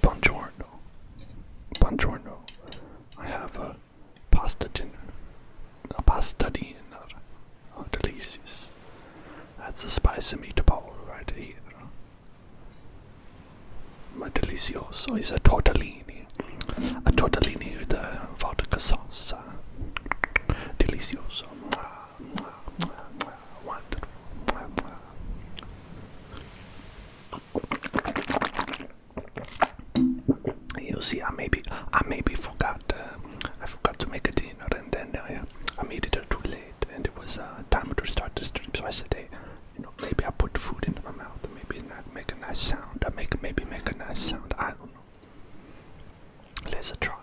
Buongiorno. Buongiorno. I have a pasta dinner. A pasta dinner. Oh, delicious. That's a spicy meatball right here. Ma delicioso It's a tortellini. A tortellini with a uh, vodka sauce. Delicioso. One, two, three. You see, I maybe, I maybe forgot. Uh, I forgot to make a dinner, and then I, uh, I made it too late, and it was uh, time to start the stream. So I said, hey, you know, maybe I put the food into my mouth, maybe not make a nice sound. I make maybe make a nice sound. I don't know. Let's try.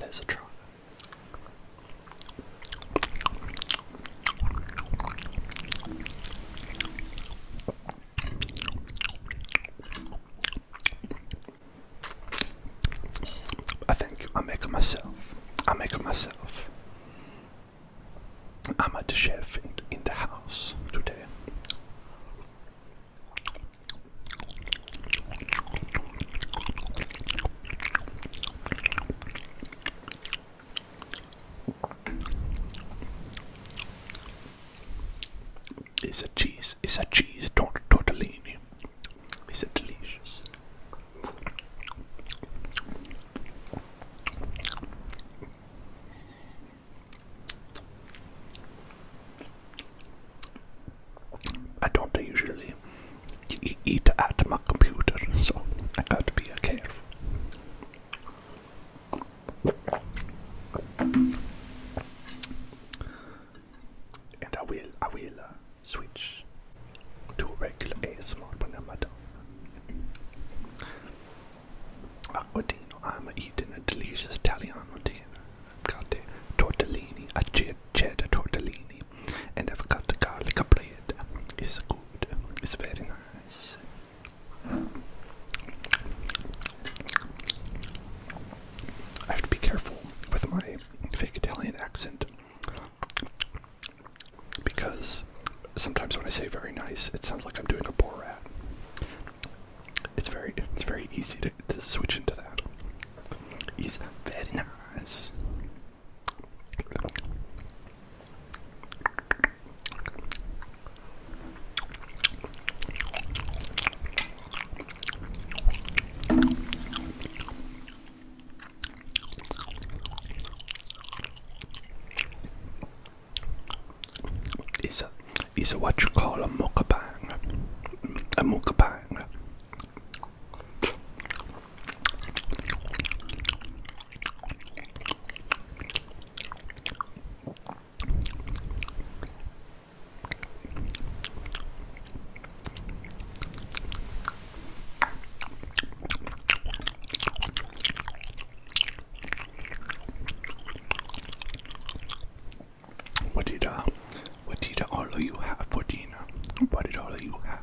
Let's try. I think I make it myself. I make it myself. I'm at the chef in, in the house today. It's a cheese. It's a cheese tort tortellini. It's delicious. I don't usually eat at my computer, so I gotta be careful. And I will, I will uh, switch to regular ASMR when I'm done. I'm eating a delicious Italian dinner. I've got the tortellini, a cheddar tortellini, and I've got the garlic bread. It's it's very nice. I have to be careful with my fake Italian accent because sometimes when I say very nice, it sounds like I'm doing a Borat. It's very, it's very easy to, to switch into that. He's very nice. Is a is a what you call a mukbang, a mukbang. What did uh what did all of you have for dinner? What did all of you have?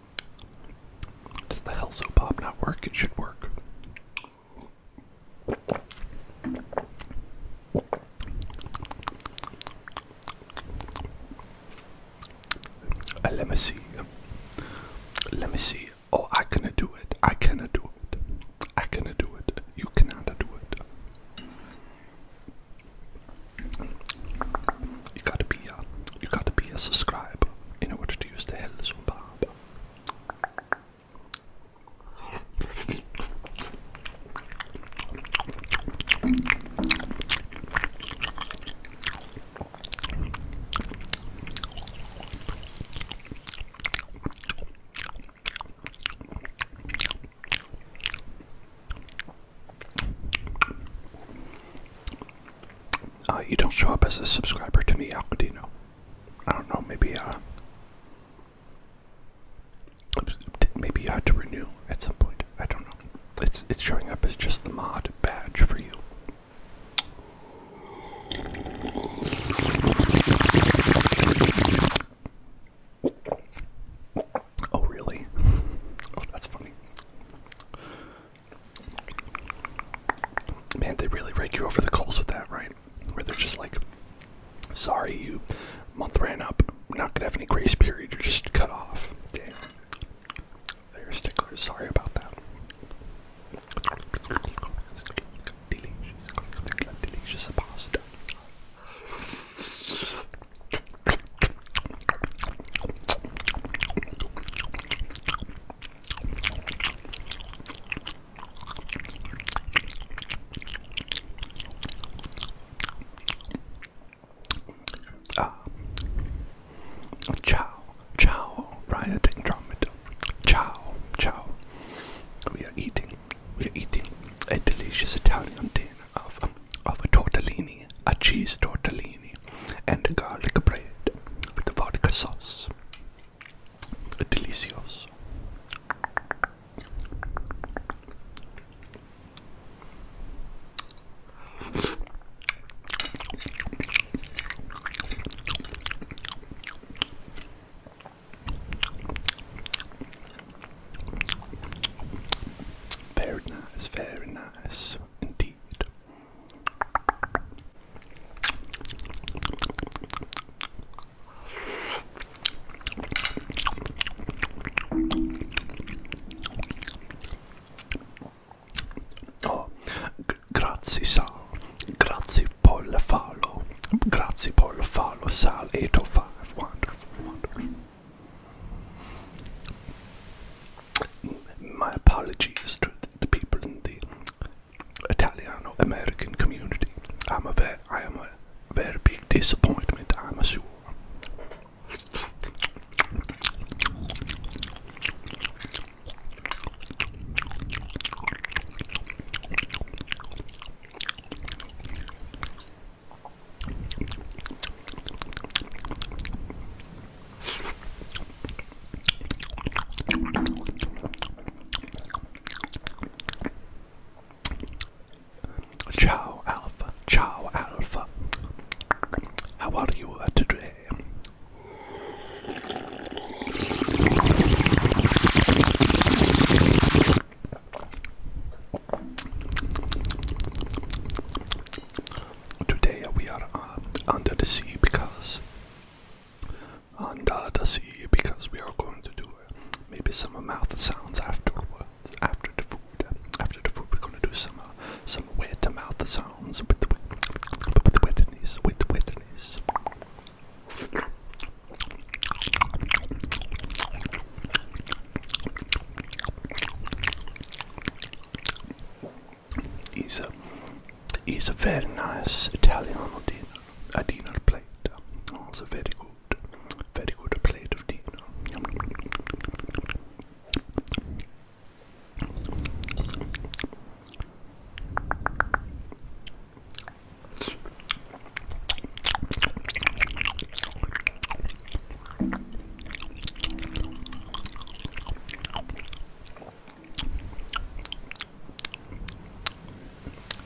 Does the hell soap pop not work? It should work. Uh, let me see. Let me see. Oh, I cannot do it. I cannot do it. I cannot do it. You cannot do it you gotta be a, uh, you gotta be a subscriber in order to use the Hell's Bob. Uh, you don't show up as a subscriber to me, Alcadino. I don't know, maybe uh maybe you had to renew at some point. I don't know. It's it's showing up as just the mod badge for you. Oh really? Oh that's funny. Man, they really rake you over the coals with that, right? Where they're just like, sorry, you month ran up. We're not gonna have any grace period. You're just cut off. Damn. They're sticklers. Sorry about that. Delicious, delicious pasta. Ah. Ciao, ciao, rioting trumpet. Ciao, ciao. We are eating, we are eating a delicious Italian dinner of, of a tortellini, a cheese tortellini turkey and garlic bread with vodka sauce. Delicious. Very nice, very nice indeed. Oh, grazie Sal, grazie Paul Fallo, grazie Paul Fallo, Sal 805, wonderful, wonderful. My apologies to the people in the Italiano American community. I'm a very, I am a very big disappointment. I'm sure. Ciao Alpha, ciao Alpha. How are you uh, today? Today we are uh, under the sea because under uh, the sea because we are going to do uh, maybe some mouth sounds afterwards after the food uh, after the food we're going to do some some wet mouth sounds with the with the wetness with the wetness is a is a very nice Italian dinner, a dinner plate. Also very good, very good plate of dinner.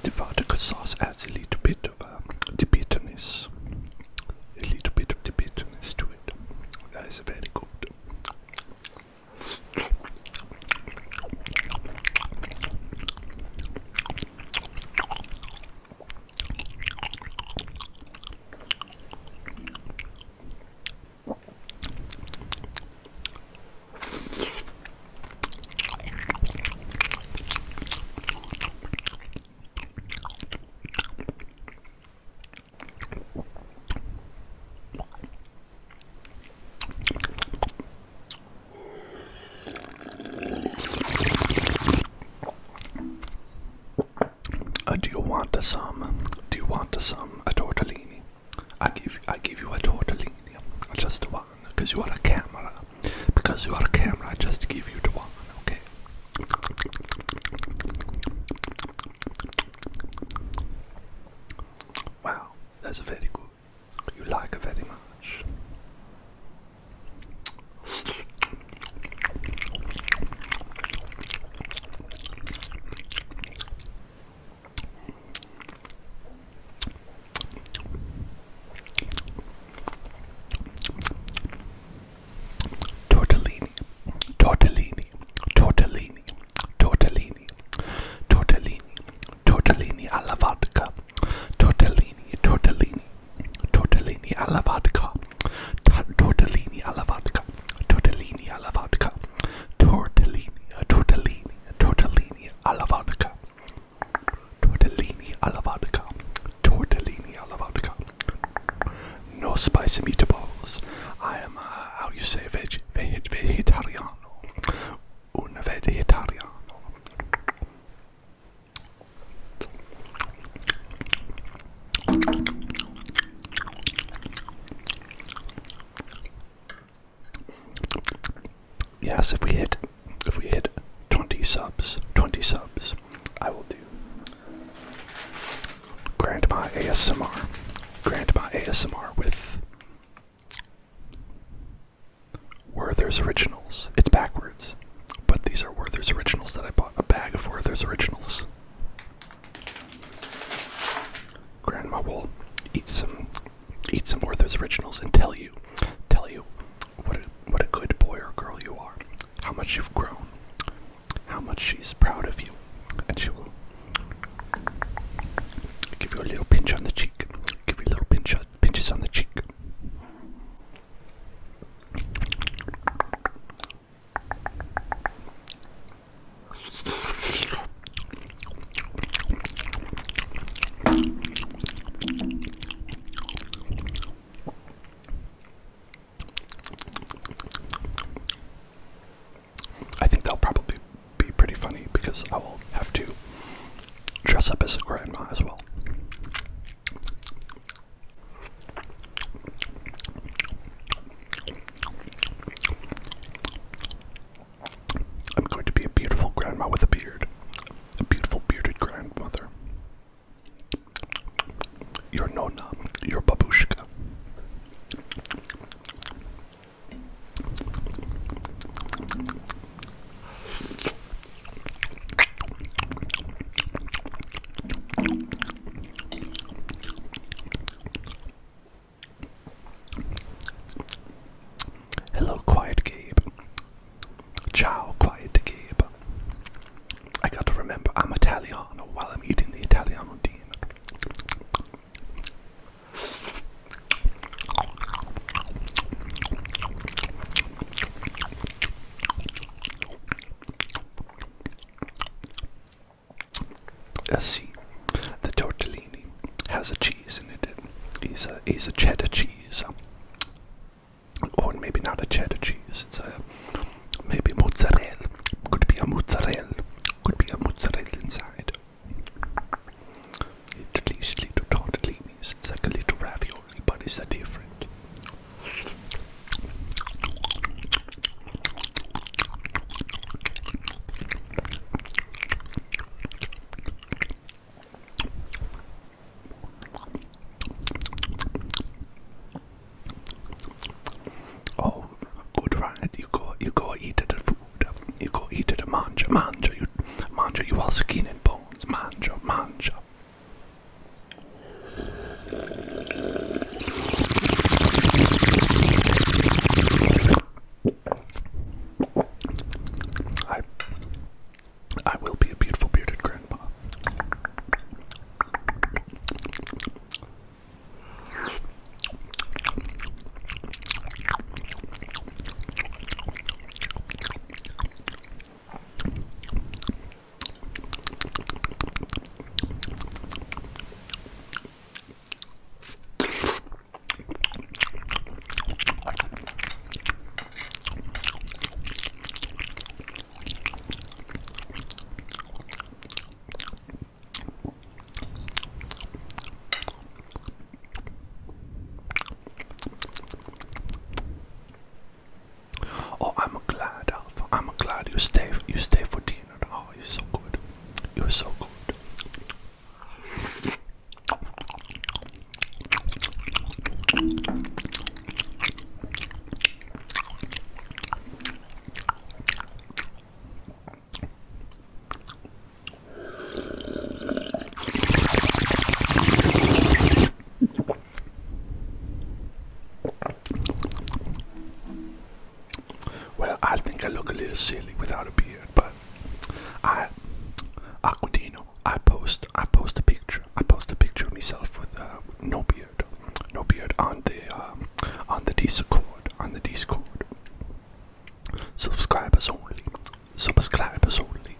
The vodka sauce adds a little bit of um, the bitterness, a little bit of bitterness to it. That is very good. Uh, do you want some? Do you want some? A tortellini? I give I give you a tortellini, just one, because you are a camera. Because you are a camera, I just give you the one, okay? Wow, that's very good. You like it very much. Tortellini, tortellini, tortellini, tortellini, tortellini, tortellini alla vodka, tortellini, tortellini, tortellini alla vodka, tortellini alla vodka, tortellini alla vodka, tortellini, tortellini, tortellini alla vodka, tortellini alla vodka, tortellini alla vodka. No spicy meatballs. I am, uh, how you say, veg, veg, vegetariano, un vegetariano. Yes, if we hit if we hit 20 subs, 20 subs, I will do Grandma ASMR. Grandma ASMR with Werther's Originals. It's backwards, but these are Werther's Originals that I bought. A bag of Werther's Originals. Grandma will eat some eat some Werther's originals and tell you tell you what a what a good boy or girl you are, how much you've grown, how much she's proud of you, and she will give you a little pinch on the cheek, give you little pinch pinches on the cheek. I think that'll probably be pretty funny because I will have to dress up as a grandma as well. I'm going to be a beautiful grandma with a beard. A beautiful bearded grandmother. You're Nona, you're babushka. Hello, Quiet Gabe. Ciao, Quiet Gabe. I gotta remember I'm Italian while I'm eating the Italiano dinner. C. The tortellini has a cheese in it. It's a, it's a cheddar cheese. Or maybe not a cheddar cheese. It's a maybe mozzarella. Could be a mozzarella. Could be a mozzarella inside. It least little tortellinis. It's like a little ravioli, but it's a different. Oh, good right. You go, you go eat the food. You go eat the mancha, mancha. You, mancha. You are skin and bones. Mancha, mancha. I I will be a beautiful bearded grandpa. Oh, I'm glad, I'm glad you stayed. You stay for dinner. Oh, you're so good. You're so good. Well, I think I look a little silly without a beard, but I Aquadino, I post I post a picture. I post a picture of myself with uh, no beard. No beard on the um, on the Discord. On the Discord. Subscribers only. Subscribers only.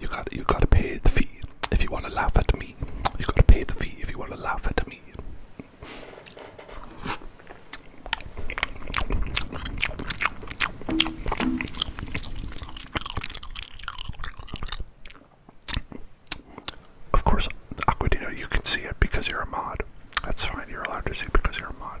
You got you gotta pay the fee if you wanna laugh at me. You gotta pay the fee if you wanna laugh at me. Of course, Aquadino, you can see it because you're a mod. That's fine, you're allowed to see because you're a mod.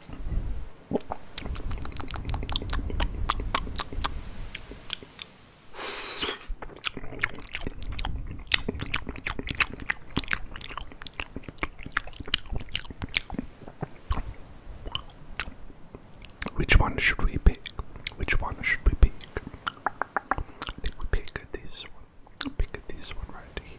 Which one should we pick? Which one should we pick? I we pick this one. Pick this one right here.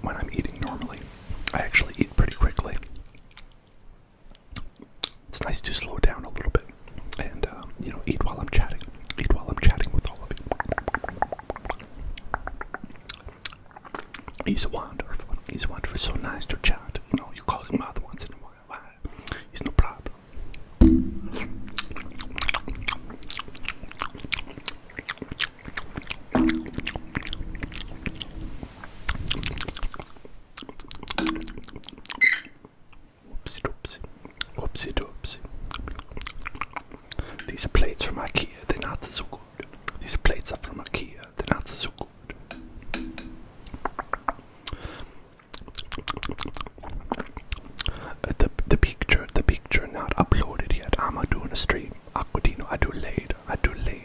When I'm eating normally, I actually eat pretty quickly. It's nice to slow down a little bit and, uh, you know, eat while I'm chatting. Eat while I'm chatting with all of you. He's wonderful. He's wonderful. So nice to chat. You know, you call him out once in a while why? It's no problem. Whoopsie doopsie. Whoopsie doopsie. These plates from IKEA, they're not so good. These plates are from IKEA, they're not so good. Uh, the the picture the picture not uploaded yet. I'ma doing a stream. Aquadino, I do late. I do late.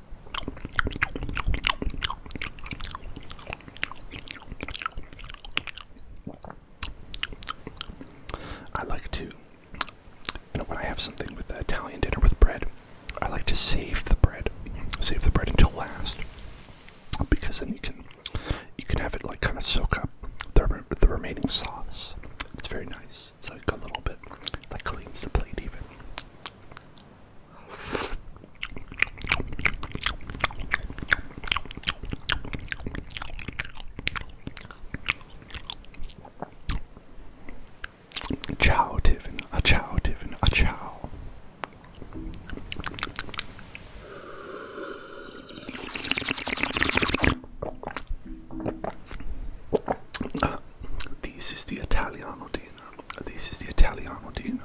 I like to, you know, when I have something with the Italian dinner with bread, I like to save the bread, save the bread until last, because then you can, you can have it like kind of soak up the the remaining sauce. It's very nice. It's like a little bit, that cleans the plate even. Ciao, Tiffin. ciao, Tiffin. ciao. Uh, this is the Italiano dinner. This is the Italiano dinner.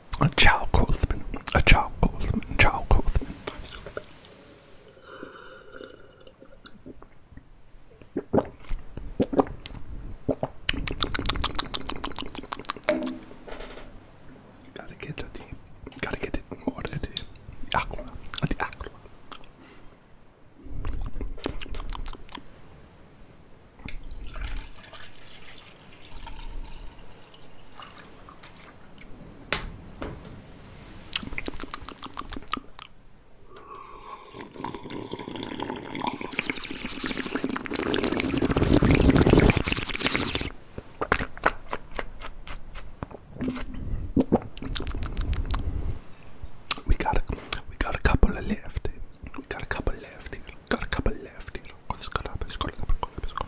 A Chow Coastman. A Chow Coastman. Chow Coastman. Gotta get it. Gotta get it more than Aqua. The aqua. We got a, we got a couple of left. We got a couple left here. Got a couple left here. Oh, this got up. It's got up. It's got up. It's got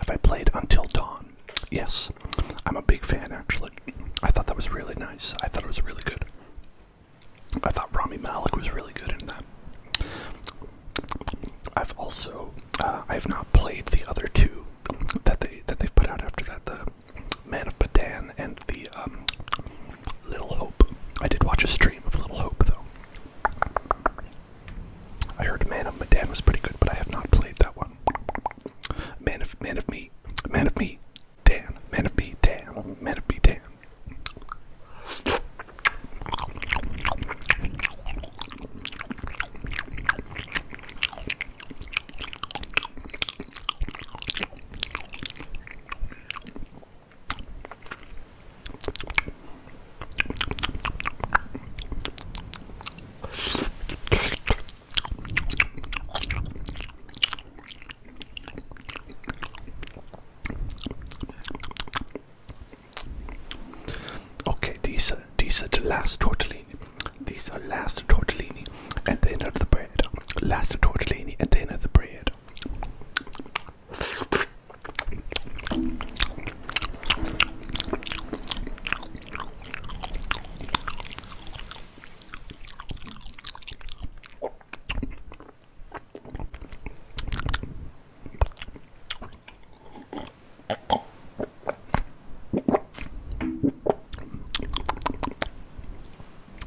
Have I played Until Dawn? Yes. I'm a big fan, actually. I thought that was really nice. I thought it was really good. I thought Rami Malik was really good in that. I've also, uh, I have not played the other two that they that they've put out after that, the Man of Badan and the um, Little Hope. I did watch a stream of Little Hope though. I heard Man of Medan was pretty good, but I have not played that one. Man of Man of Me, Man of Me, Dan, Man of Me, Dan, Man of Me, Dan. Okay, these are these are the last totally. These are last of tortellini and then of the bread. Last of tortellini and then of the bread.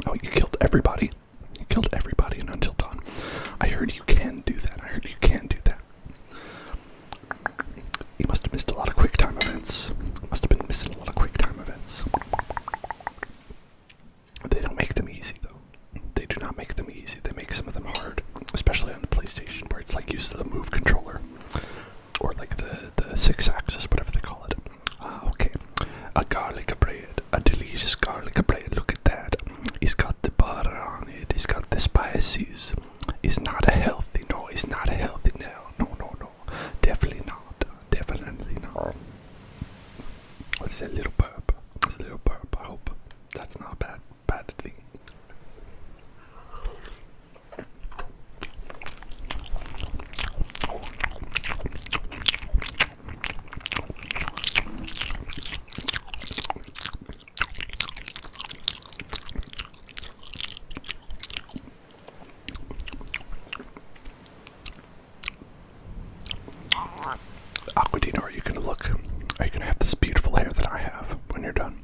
Oh, you killed everybody. You killed everybody in Until Dawn. I heard you can do that. I heard you can do that. You must have missed a lot of quick time events. Must have been missing a lot of quick time events. They don't make them easy though. They do not make them easy. They make some of them hard, especially on the PlayStation where it's like use the move controller or like the the six axes, whatever they call it. Ah, okay. A garlic bread, a delicious garlic bread. Look at that. It's got the butter on it. It's got the spices. It's not a healthy. No, it's not a healthy. No, no, no, no. Definitely not. Definitely not. It's a little burp? It's a little burp. I hope that's not a bad, bad thing. Aquadina, are you gonna look? Are you gonna have this beautiful hair that I have when you're done?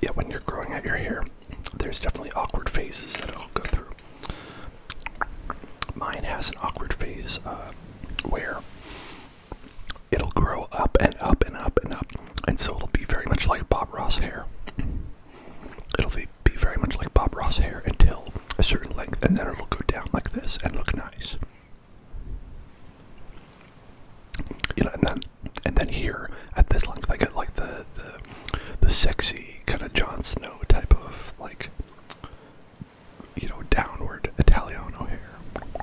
Yeah, when you're growing out your hair, there's definitely awkward phases that i will go through. Mine has an awkward phase uh, where it'll grow up and up and up and up. And so it'll be very much like Bob Ross hair. It'll be, very much like Bob Ross hair until a certain length, and then it'll go down like this and look nice. You know, and then and then here at this length, I get like the the the sexy kind of Jon Snow type of like you know downward Italiano hair.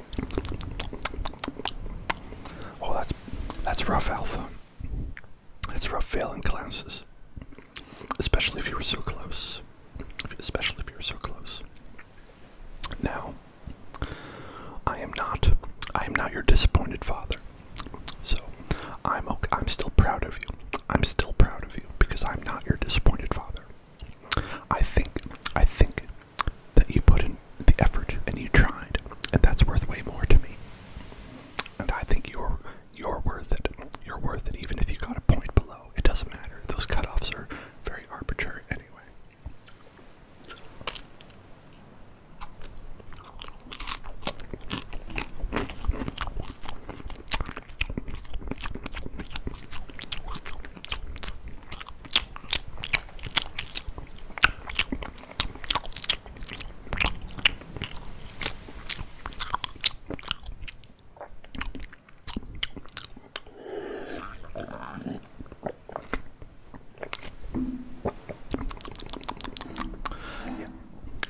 Oh, that's that's rough, Alpha. That's rough failing classes, especially if you were so close. Especially if you were so close. Now, I am not. I am not your disappointed father. So, I'm okay, I'm still proud of you. I'm still proud of you because I'm not your disappointed father. I think. I think that you put in the effort and you tried, and that's worth way more to me. And I think you're you're worth it. You're worth it, even if you got a point below. It doesn't matter. Those cutoffs are very arbitrary anyway.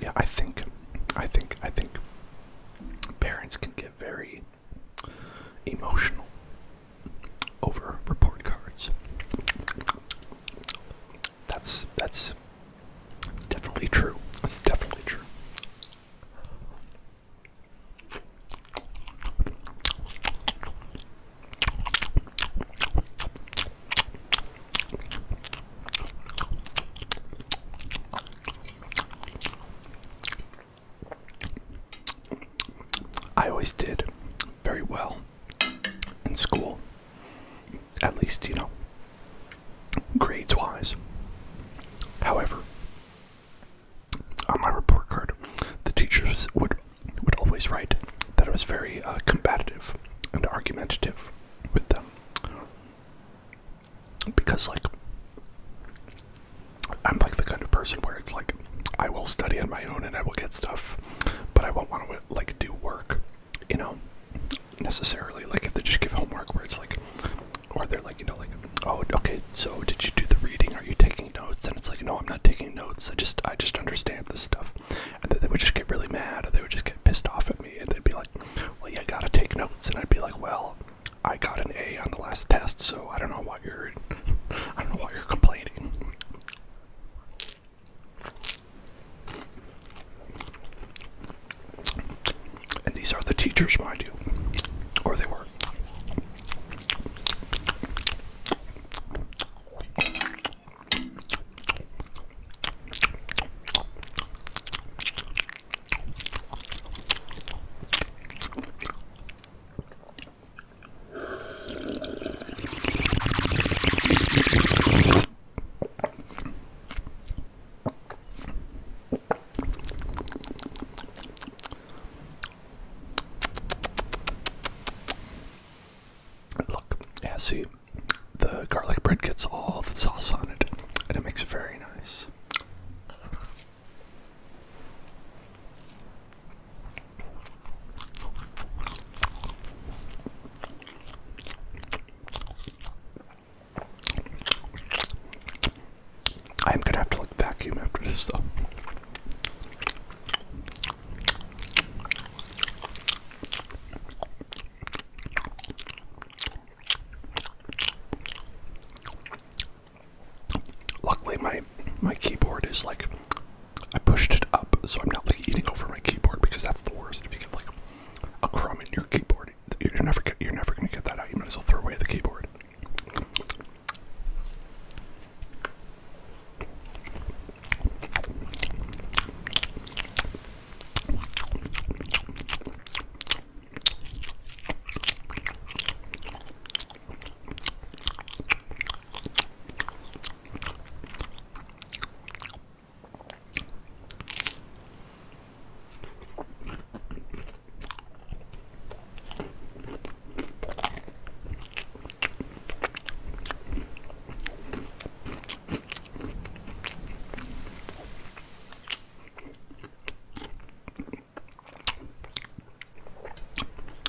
Yeah, I think, I think, I think parents can get very emotional over report cards. That's that's definitely true. That's definitely true. I always did very well in school. At least, you know, grades wise. However, on my report card, the teachers would would always write that I was very uh, combative and argumentative with them because, like, I'm like the kind of person where it's like I will study on my own and I will get stuff, but I won't want to like do work, you know, necessarily. Like if they just give homework where it's like, or they're like, you know, like, oh, okay, so did you do the reading? Are you taking notes? And it's like, no, I'm not taking notes. I just, I just understand this stuff. And then they would just get really mad, or they would just get pissed off at me, and they'd be like, well, you gotta take notes. And I'd be like, well, I got an A on the last test, so I don't know why you're, I don't know why you're complaining. And these are the teachers, mind you, or they were. Look, yeah, see, the garlic bread gets all the sauce on it, and it makes it very nice. I'm gonna have to like vacuum after this though. Luckily my my keyboard is like I pushed it up so I'm not like eating over my keyboard because that's the worst. If you get like a crumb in your keyboard, you're never you're never gonna get that out. You might as well throw away the keyboard.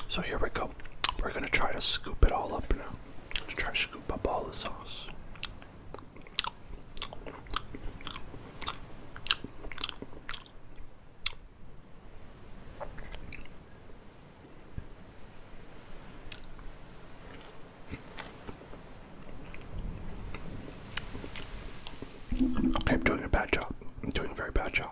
So here we go. We're gonna try to scoop it all up now. Let's try to Super Bowl sauce. Okay, I'm doing a bad job. I'm doing a very bad job.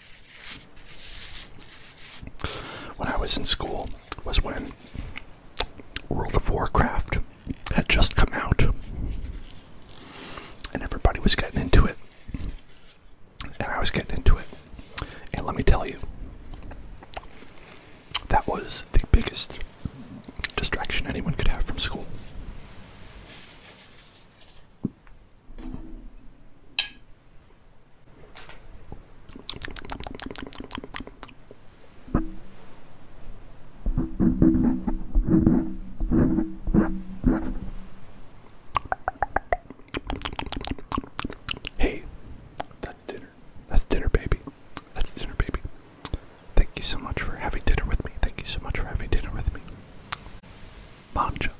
when I was in school was when World of Warcraft had just come out and everybody was getting into it. And I was getting into it. And let me tell you, that was the biggest distraction anyone could have from school. Hey, that's dinner. That's dinner, baby. That's dinner, baby. Thank you so much for having dinner with me. Thank you so much for having dinner with me. Mancha.